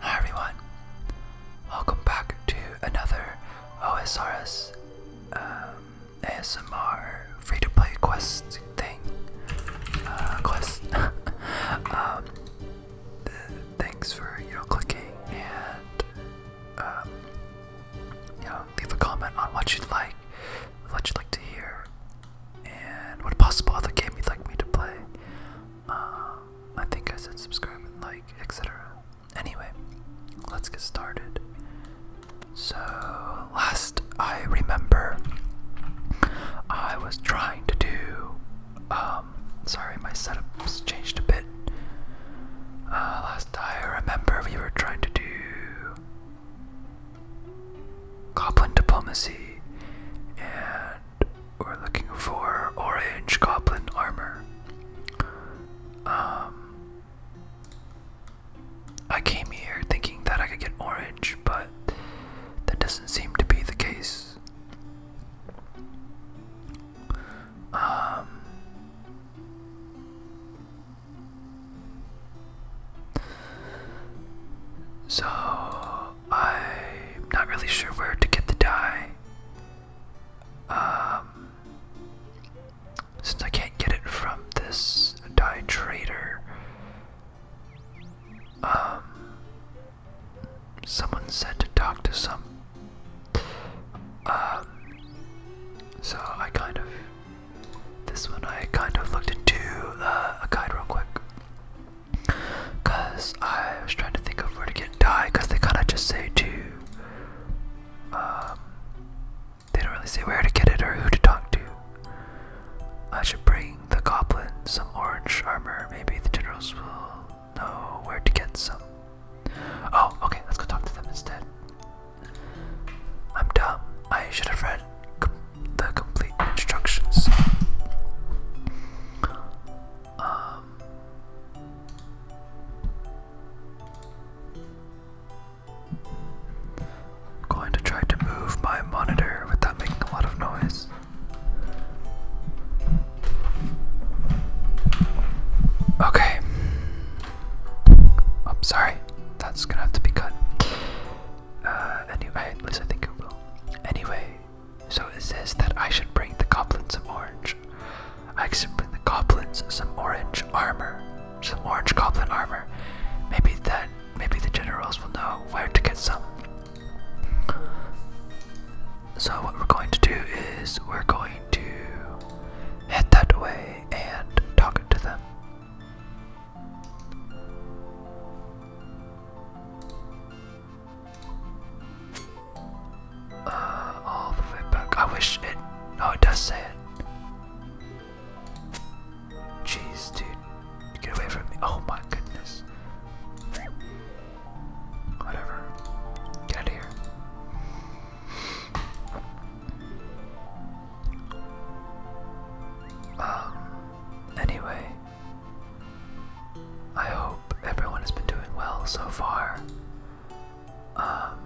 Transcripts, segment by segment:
Hi everyone, welcome back to another OSRS um, ASMR free to play quest thing. Uh, quest. Um, thanks for you know clicking and um, you know leave a comment on what you'd like, what you'd like to hear, and what possible other game you'd like me to play. Um, I think I said subscribe and like, etc. Anyway, let's get started. So, last I remember, I was trying to do. Um, sorry, my setup's changed a bit. Uh, last I remember, we were trying to do. Goblin diplomacy, and we're looking for orange goblin armor. Um, I came here thinking that I could get orange, but that doesn't seem to be the case. Um, so I'm not really sure where to get the dye. Um, since I can't get it from this dye trader, um, someone said to talk to some. Um, so I kind of. This one I kind of looked into uh, a guide real quick. Cause I was trying to think of where to get die, cause they kinda just say to um they don't really say where to get it or who to talk to. I should bring the goblin some orange armor. Maybe the generals will know where to get some. Oh, okay, let's go talk to them instead. I'm dumb. I should have read the complete instructions. Um, I'm going to try to move my monitor without making a lot of noise. Okay. Oh, sorry. That's gonna have to be cut. Uh, anyway, so it says that I should bring the goblins some orange. I should bring the goblins some orange armor. Some orange goblin armor. Maybe that maybe the generals will know where to get some. So what we're going to do is we're going to head that way and talk to them. Uh, all the way I wish it. No, it does say it. Jeez, dude. Get away from me. Oh my goodness. Whatever. Get here. Um, anyway. I hope everyone has been doing well so far. Um,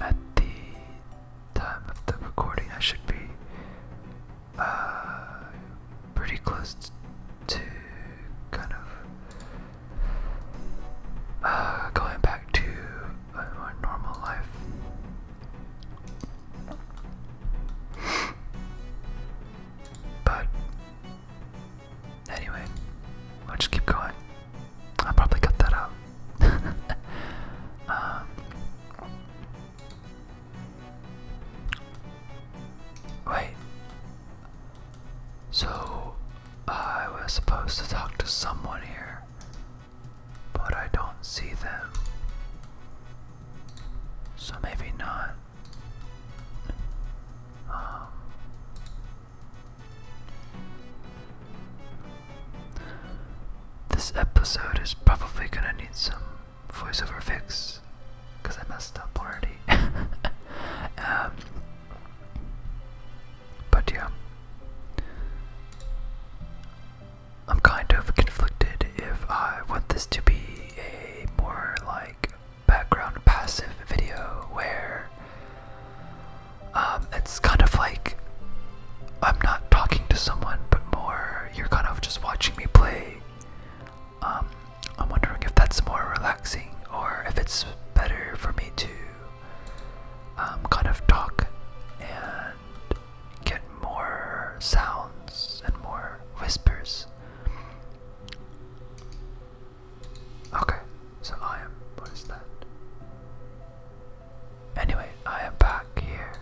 at the time of the recording, I should be uh, pretty close to kind of uh, going back to a normal life. But anyway, I'll just keep going. I'll probably cut that out. Um, wait. So I was supposed to talk to someone here, but I don't see them. So maybe not. Um, this episode is probably gonna need some voiceover fix because I messed up already. Um, but yeah, I'm kind of conflicted if I want this to be a more like background passive video where um, it's kind of like I'm not talking to someone, but more you're kind of just watching me play. Um, I'm wondering if that's more relaxing or if it's better for me to um, kind of talk and get more sounds and more whispers. Okay, so I am. What is that? Anyway, I am back here.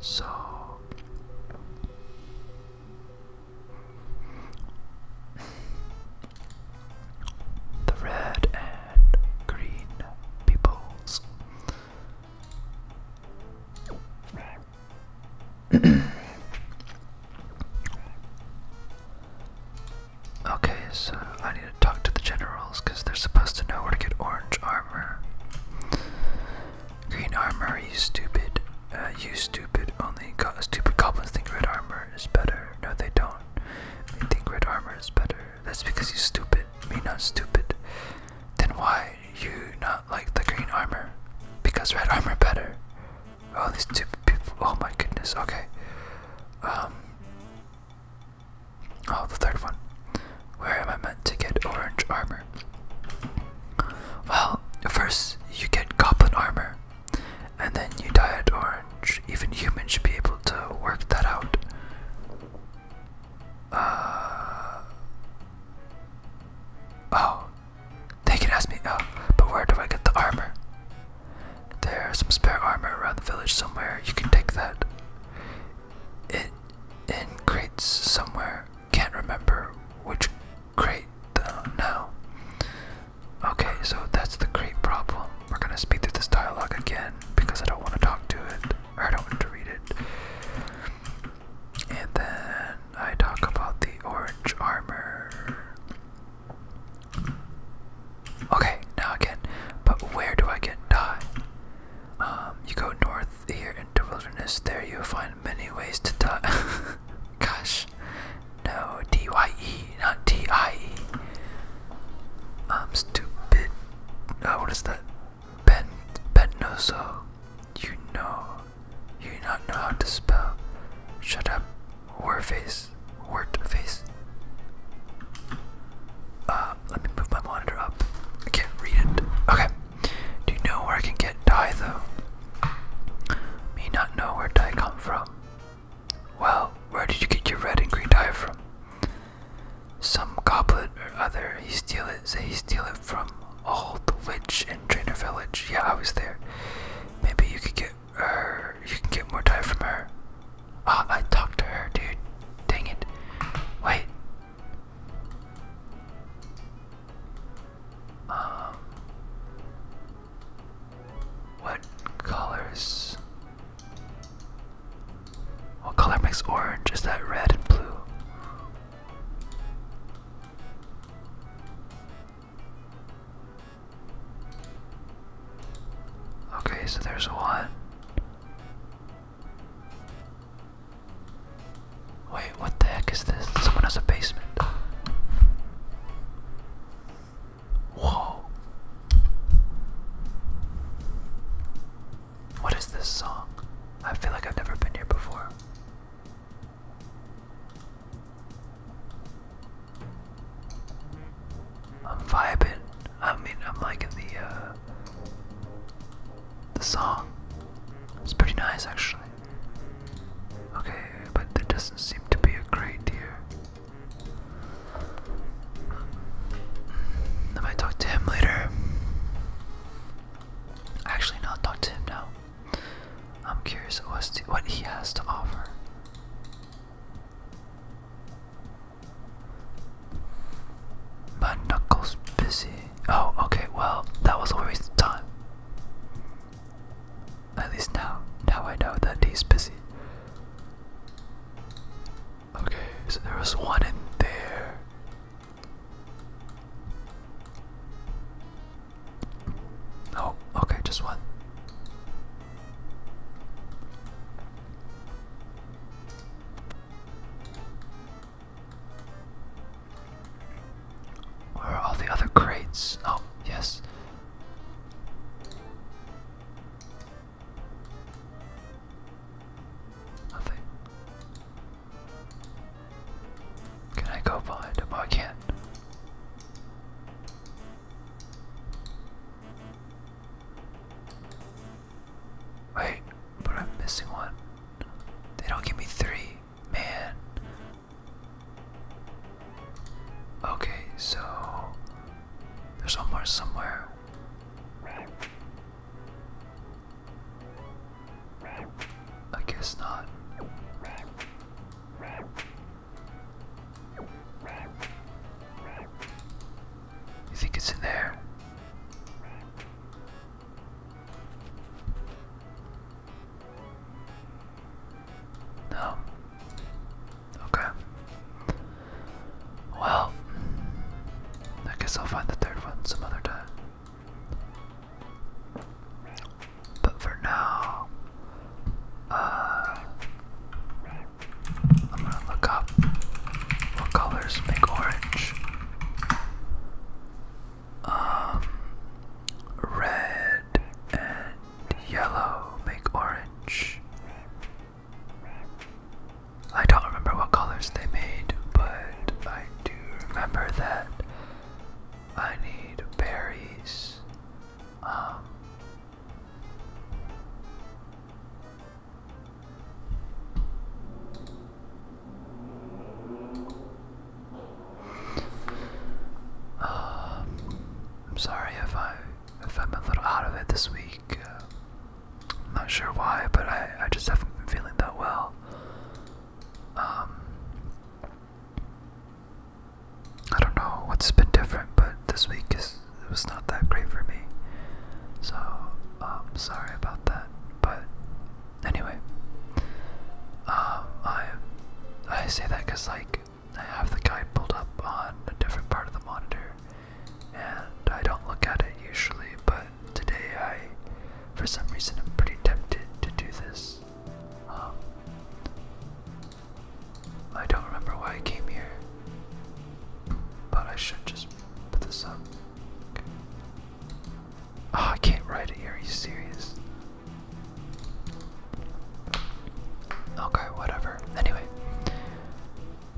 So. The red and green peoples. okay, so I need to talk to the generals because they're supposed to know where to get orange armor. Green armor, you stupid. Uh, you stupid. Only go stupid goblins think red armor is better. No, they don't. They think red armor is better. That's because you stupid. Me not stupid. Then why you not? like the green armor because red armor better. Oh, these two people. Oh my goodness. Okay. Um. Oh, the third one. Where am I meant to get orange armor? Well, first you get goblin armor, and then you dye it orange. Even humans should be able to work that out. Uh, oh, they can ask me. Oh, but where do I get the armor? There's some spare armor around the village somewhere. You can take that. It in crates somewhere. Can't remember which crate now. Okay, so that's the crate problem. We're gonna speed through this dialogue again because I don't want to talk to it, or I don't want to read it. And then I talk about the orange armor. Okay, now again, but where do I get dye? Um, you go north here into wilderness. There you'll find many ways to dye. Gosh, no, D Y E, not T I E. I'm stupid. Uh, what is that? Ben Bennoso, you know, you do not know how to spell. Shut up, warface, word face. Uh, let me move my monitor up. I can't read it. Okay. Do you know where I can get dye though? Me not know where dye come from. Well, where did you get your red and green dye from? Some goblet or other he steal it, say he steal it from all the witch in Trainer Village. Yeah, I was there. Maybe you could get her, you can get more time from her. Ah, I talked to her, dude. Dang it. Wait. Um. What colors? What color makes orange? Is that red and blue? Okay, so there's one. Wait, what the heck is this? Someone has a basement. Whoa. What is this song? I feel like I've never been here before. I'm vibing. I mean, I'm liking the uh, the song. It's pretty nice, actually. Okay, but there doesn't seem to be a great here. Hmm. I might talk to him later. Actually, no, I'll talk to him now. I'm curious what he has to offer. My knuckles busy. Oh, okay, well, that was a waste of time. At least now, now I know that he's busy. Okay, so there was one in there. Oh, okay, just one. Where are all the other crates? Oh, yes. Nothing. Can I go behind him? Oh, I Wait, but I'm missing one. They don't give me three. Man. Okay, so there's one more somewhere. I guess not. You think it's in there? No. Okay. Well, I guess I'll find the third one some other time. But for now, uh, I'm gonna look up what colors make orange. Um, red and yellow make orange. I don't remember what colors they made, but I do remember that I need berries. Um, um I'm sorry if I if I'm a little out of it this week. Uh, I'm not sure why, but I, I just haven't been feeling that well. Um, I don't know what's been different, but this week is it was not that great for me. So um, sorry about that. But anyway, um, I I say that because like I have the guide pulled up on a different part of the monitor, and I don't look at it usually, but today I, for some reason, I'm pretty tempted to do this. Um, I don't remember why I came here, but I should just put this up. Ah, I can't write it here. Are you serious? Okay, whatever. Anyway,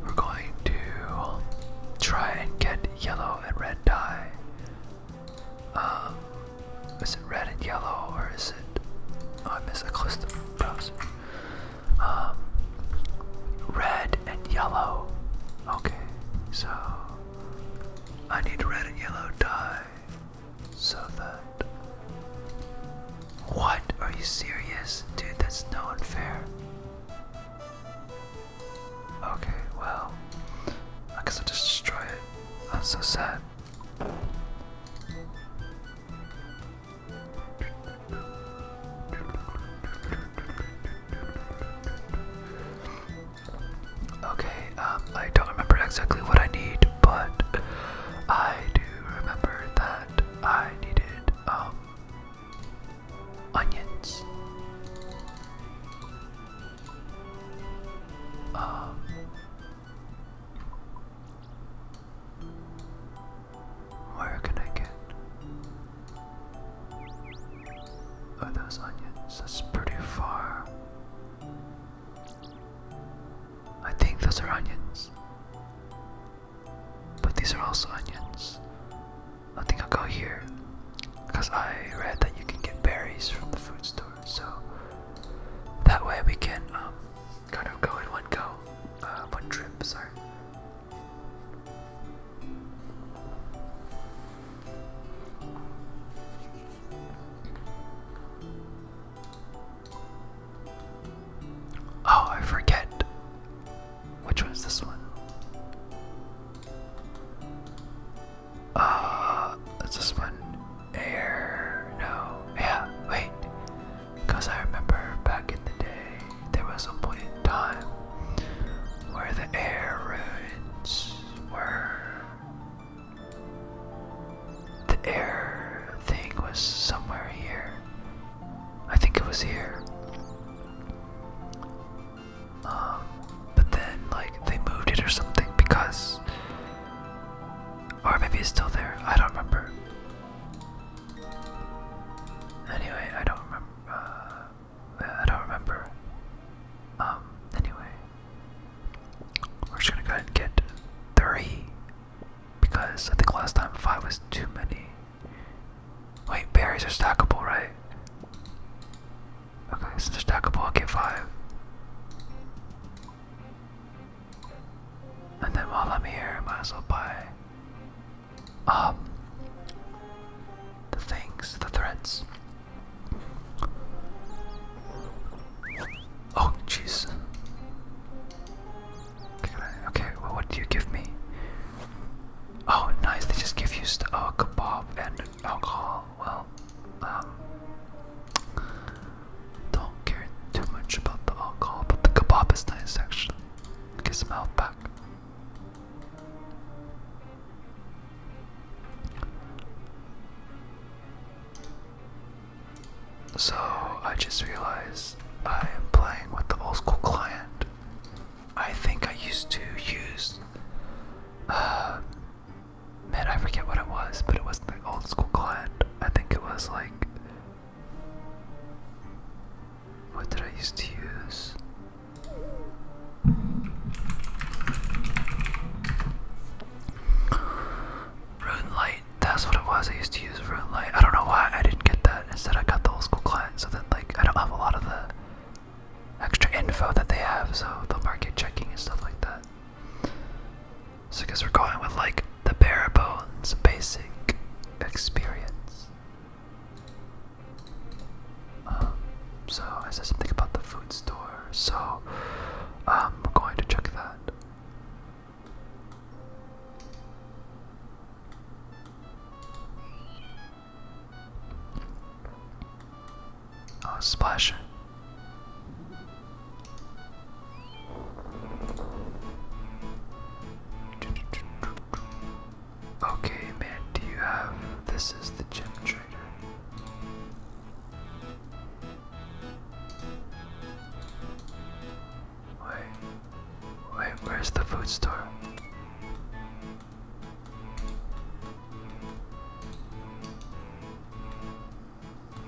we're going to try and get yellow, and red dye. Um, is it red and yellow, or is it? Oh, I missed a cluster Um, red and yellow. Okay, so I need red and yellow dye so that. What? Are you serious? Dude, that's no unfair. Okay, well, I guess I'll just destroy it. That's so sad. Okay, um, I don't remember exactly what I need, but I do remember that I needed, um, onions. Um, where can I get? Oh, those onions. That's pretty far. I think those are onions. But these are also onions. I think I'll go here because I read that you can get berries from the food store. So that way we can um, kind of go in one go, uh, one trip. Sorry. Oh, I forget. Which one is this one? Uh, is this one air? No. Yeah, wait. Because I remember back in the day, there was a point in time where the air ruins were. The air thing was somewhere here. I think it was here. Um, but then like they moved it or something because or maybe it's still there. I don't remember. Anyway, I don't remember. Uh, I don't remember. Um, anyway, we're just gonna go ahead and get three because I think last time five was too many. Wait, berries are stackable, right? Okay, this is are stackable, I'll get five. And then while I'm here, I might as well buy um the things, the threads. Oh, jeez. Okay, okay, well, what do you give me? Oh, nice. They just give you st oh, kebab and alcohol. Well, um, don't care too much about the alcohol, but the kebab is nice actually. Get some health back. So I just realized I am playing with the old school client. I think I used to use. Uh, man, I forget what it was, but it wasn't the old school client. I think it was like. What did I used to use? Rune Light, that's what it was. I used to use Rune Light. I don't know why I didn't get that. Instead, I got the old school client, so then, like, I don't have a lot of the extra info that they have, so they'll market checking and stuff like that. So, because we're going with like the bare bones basic experience. Um, so, I said something about the food store, so um, we're going to check that. Oh, splash. Okay, man, do you have this is the gym trader? Wait, wait, where's the food store?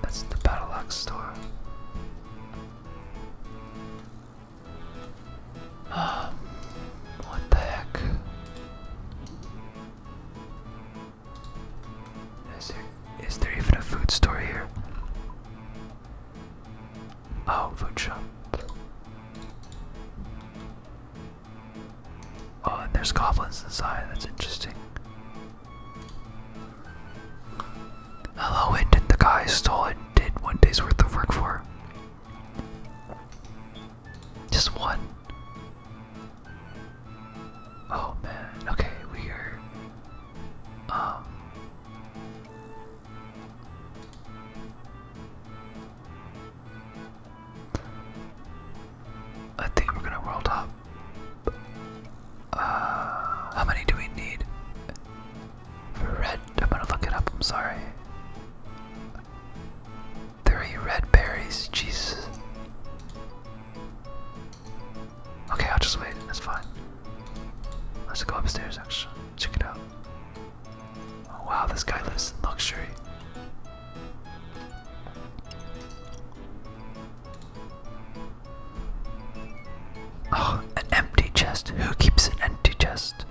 That's the battle axe store. Um, what the heck? Is there is there even a food store here? Oh, food shop. Oh, and there's goblins inside. That's interesting. Hello, Indent. The guy stole and did one day's worth of work for. Just one. Oh man. Okay, we are. Um, I think we're gonna world hop. Uh, how many do we need? red, I'm gonna look it up, I'm sorry. Three red berries, Jesus. Okay, I'll just wait, that's fine. Let's go upstairs actually, check it out. Oh, wow, this guy lives in luxury. Oh, an empty chest. Who keeps an empty chest?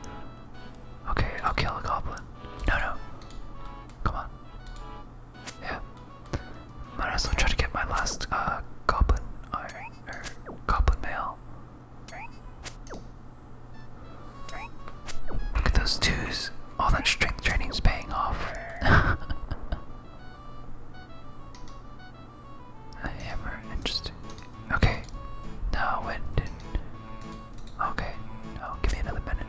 Okay, I'll kill a goblin. No, no. Come on. Yeah. Might as well try to get my last uh, goblin goblin mail. Look at those twos. All that strength training is paying off. A hammer, interesting. Okay, now when Okay, no, give me another minute.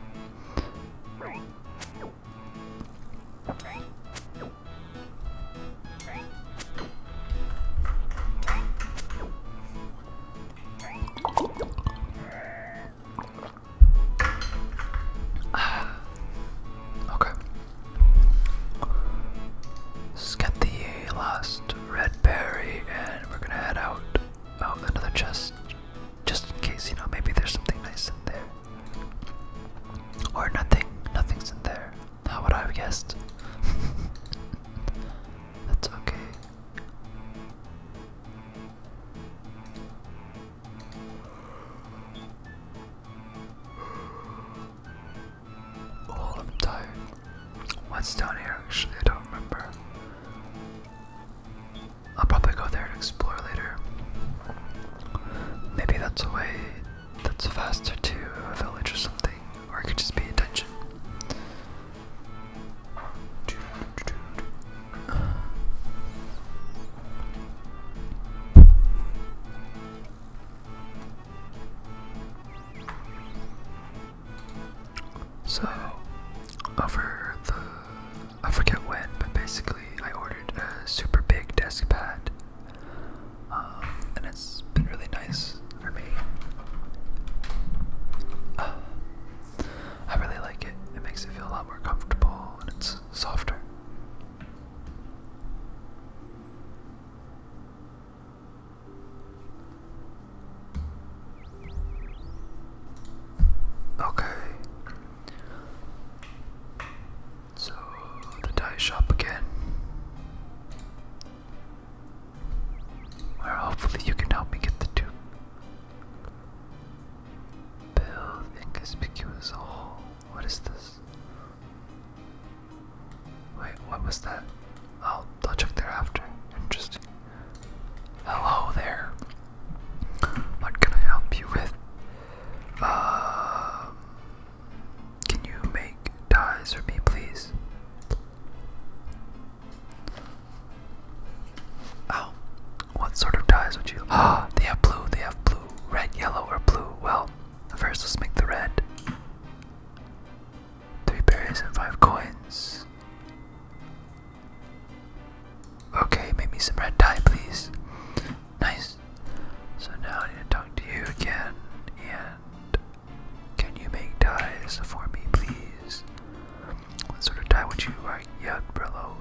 okay. Let's get the last red berry and we're gonna head out. Oh, another chest. Just in case, you know, maybe there's something nice in there. Or nothing. Nothing's in there. How would I have guessed? That's okay. Oh, I'm tired. What's down here actually? I don't remember. I'll probably go there and explore later. Maybe that's a way that's faster to a village or something, or it could just be a dungeon. So, over the, I forget when, but basically I ordered a super big desk pad, um, and it's been really nice for me. I really like it. It makes it feel a lot more comfortable and it's softer. Okay. So the dye shop again. Where hopefully you can help me get the tube. Build inconspicuous hole. What is this? Wait, what was that? I'll, I'll check thereafter. Interesting. Hello there. What can I help you with? Uh, can you make ties for me, please? Oh, what sort of dyes would you? Ah, they have blue, they have blue, red, yellow, or blue. Well, first let's make the red. Three berries and five coins. Okay, make me some red dye, please. Nice. So now I need to talk to you again, and can you make dyes for me, please? What sort of dye would you like? Yeah,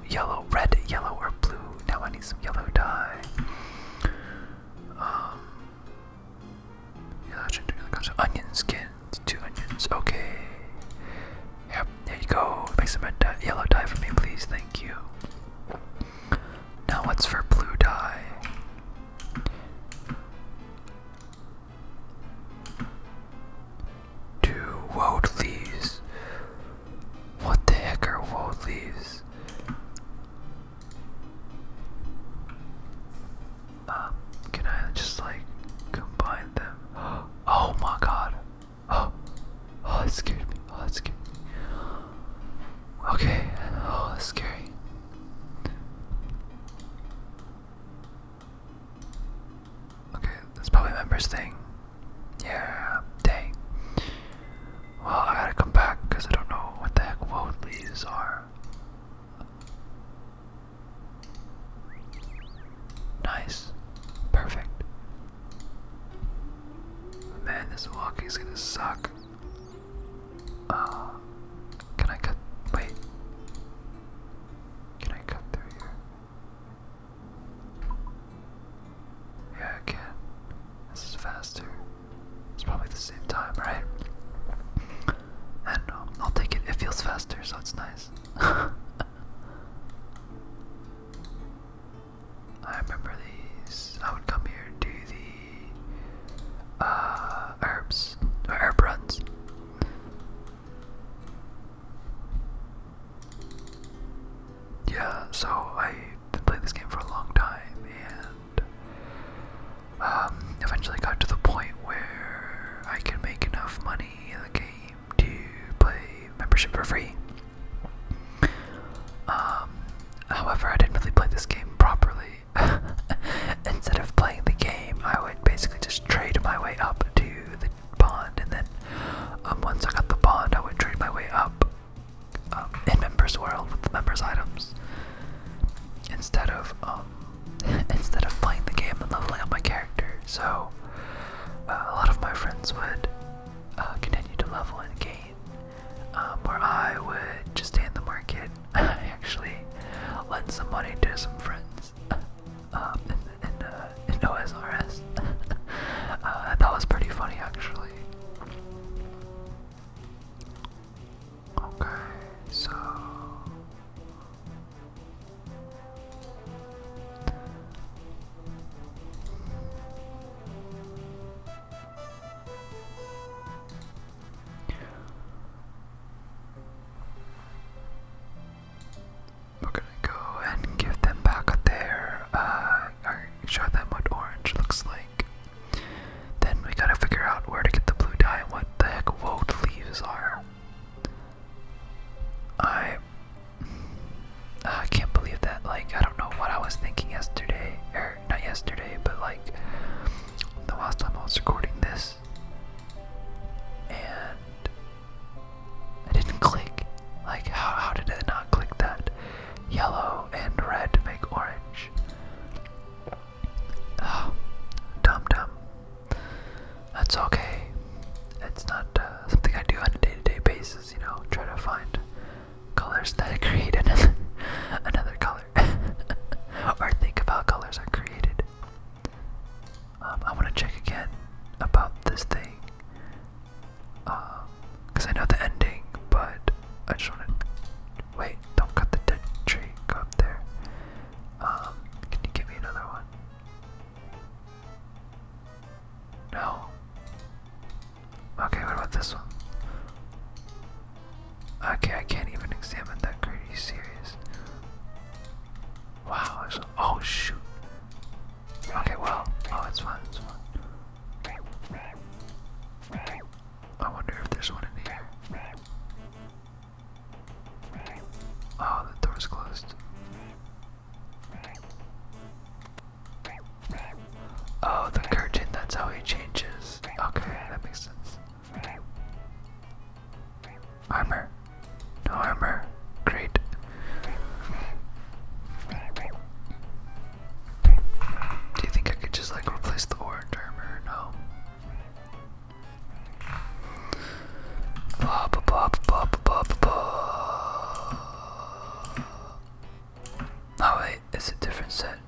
Yellow, red, yellow, or blue? Now I need some yellow dye. Um. onion skins. Two onions. Okay. Yep, there you go. Make some yellow dye for me, please. Thank you. Now what's for blue dye? Two woad What the heck are woad Um, can I just like combine them? Oh my god. Oh, oh, it scared me. Oh, it scared me. Okay, oh, that's scary. Okay, that's probably members thing. Yeah, dang. Well, I gotta come back I don't know what the heck world are. Nice. Perfect. Man, this walking's gonna suck. Uh, can I cut? Wait. Can I cut through here? Yeah, I can. This is faster. It's probably the same time, right? And um, I'll take it. It feels faster, so it's nice. I remember these. I would come here and do the uh, herbs, or herb runs. Yeah, so I did play this game for a long time and um, eventually got to the point where I could make enough money in the game to play membership for free. Um, however, I didn't really play this game properly instead of playing the game, I would basically just trade my way up to the pond, and then um, once I got the pond, I would trade my way up um, in members' world with the members' items. Instead of um, instead of playing the game and leveling up my character, so uh, a lot of my friends would uh, continue to level and gain, um, where I would just stay in the market. I actually lend some money to some friends um, in, in, uh, OSRS. that was pretty funny, actually. Okay, so. We're gonna go and give them back a their, uh, or show them what orange looks like. Then we gotta figure out where to get the blue dye and what the heck woad leaves are. I, I can't believe that, like, I don't know what I was thinking yesterday, or not yesterday, but like, the last time I was recording this, and I didn't click. Like, how, did I not click that? Yellow and red make orange. dumb, ah, dumb. That's okay. It's not uh, something I do on a day to day basis, you know, try to find colors that create another, another color. or think of colors are created. Um, I want to check again about this thing. Because um, I know the ending, but I just want to. Wait, don't cut the dead tree. up there. Um, can you give me another one? No. Okay, what about this one? Okay, I can't even examine that card. Are serious? Wow. oh shoot. Okay, well, oh, it's fine. It's fine. I wonder if there's one in here. Oh, the door's closed. Oh, the curtain, that's how it changes. Okay, that makes sense. Armor. armor. Great. Do you think I could just like replace the orange armor? No. Oh wait, it's a different set.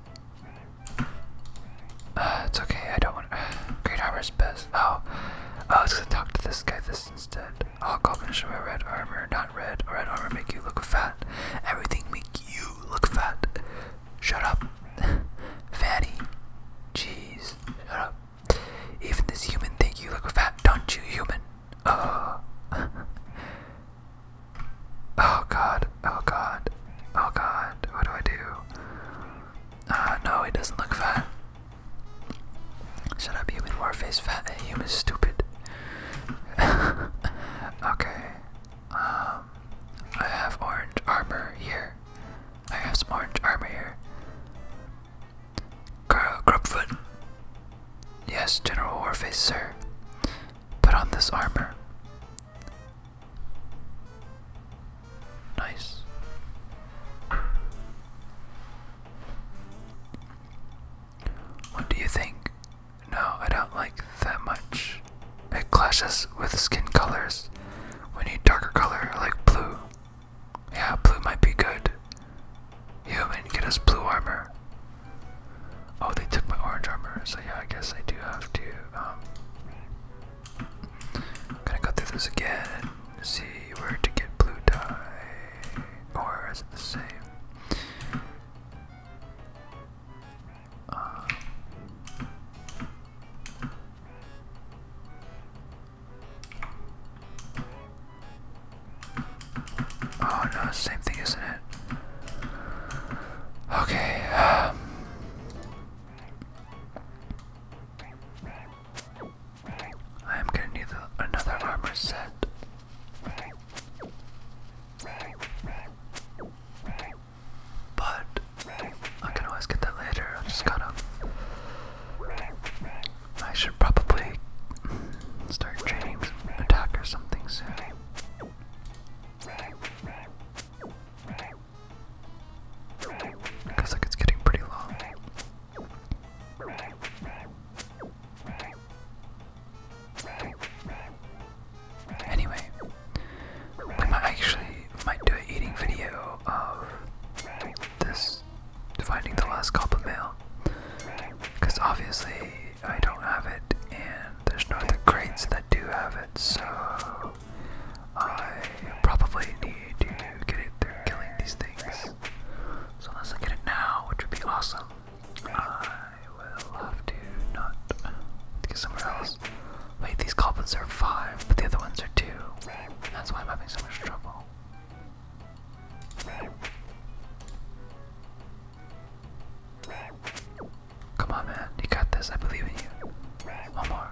Uh, it's okay, I don't want- Great armor armor's oh. oh, I was gonna talk to this guy this instead. I'll All and show my red armor, not red. Red armor make you look fat. Everything make you look fat. Shut up, fatty. Jeez, shut up. Even this human think you look fat, don't you, human? Oh. oh god, oh god, oh god, what do I do? Uh, no, it doesn't look fat. Shut up, human warface, fat human stupid. okay. Um, I have orange armor here. I have some orange armor here. Girl, Yes, General Warface, sir. Put on this armor. Nice. What do you think? No, I don't like that much. It clashes with skin colors. We need darker color like blue. Yeah, blue might be good. Human, get us blue armor. Oh, they took my orange armor, so yeah, I guess I do have to um, I'm gonna go through this again and see where to get blue dye. Or is it the same? Uh, oh no, same thing, isn't it? Okay. Um, I am gonna need another armor set. But I can always get that later. I just gotta. I should probably start training attack or something soon. Looks like it's getting pretty long. Anyway, we might actually might do an eating video of this finding the last cup of mail. Because obviously I don't have it and there's not the crates that do have it, so I probably need to get it through killing these things. So unless I get it now, which would be awesome, I will have to not get somewhere else. Wait, these goblins are five, but the other ones are two. That's why I'm having so much trouble. Come on, man. You got this. I believe in you. One more.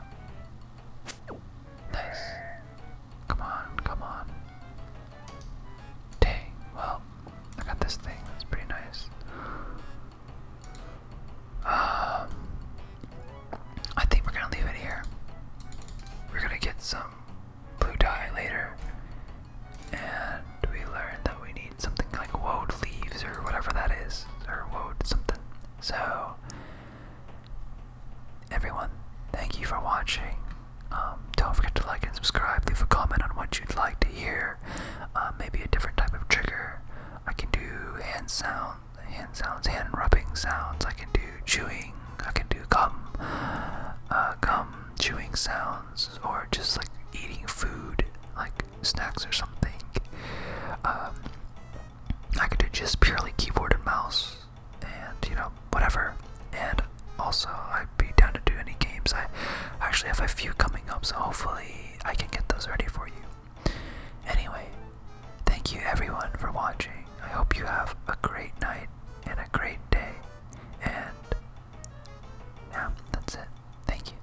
Nice. Come on, come on. Dang, well, I got this thing. That's pretty nice. Um, I think we're gonna leave it here. We're gonna get some blue dye later, and we learned that we need something like woad leaves or whatever that is, or woad something. So Everyone, thank you for watching. Um, don't forget to like and subscribe. Leave a comment on what you'd like to hear. Uh, maybe a different type of trigger. I can do hand sound, hand sounds, hand rubbing sounds. I can do chewing. I can do gum, uh, gum chewing sounds, or just like eating food, like snacks or something. Um, I could do just purely keyboard and mouse and you know whatever and also I'd be down to do any games I actually have a few coming up so hopefully I can get those ready for you anyway thank you everyone for watching I hope you have a great night and a great day and yeah that's it thank you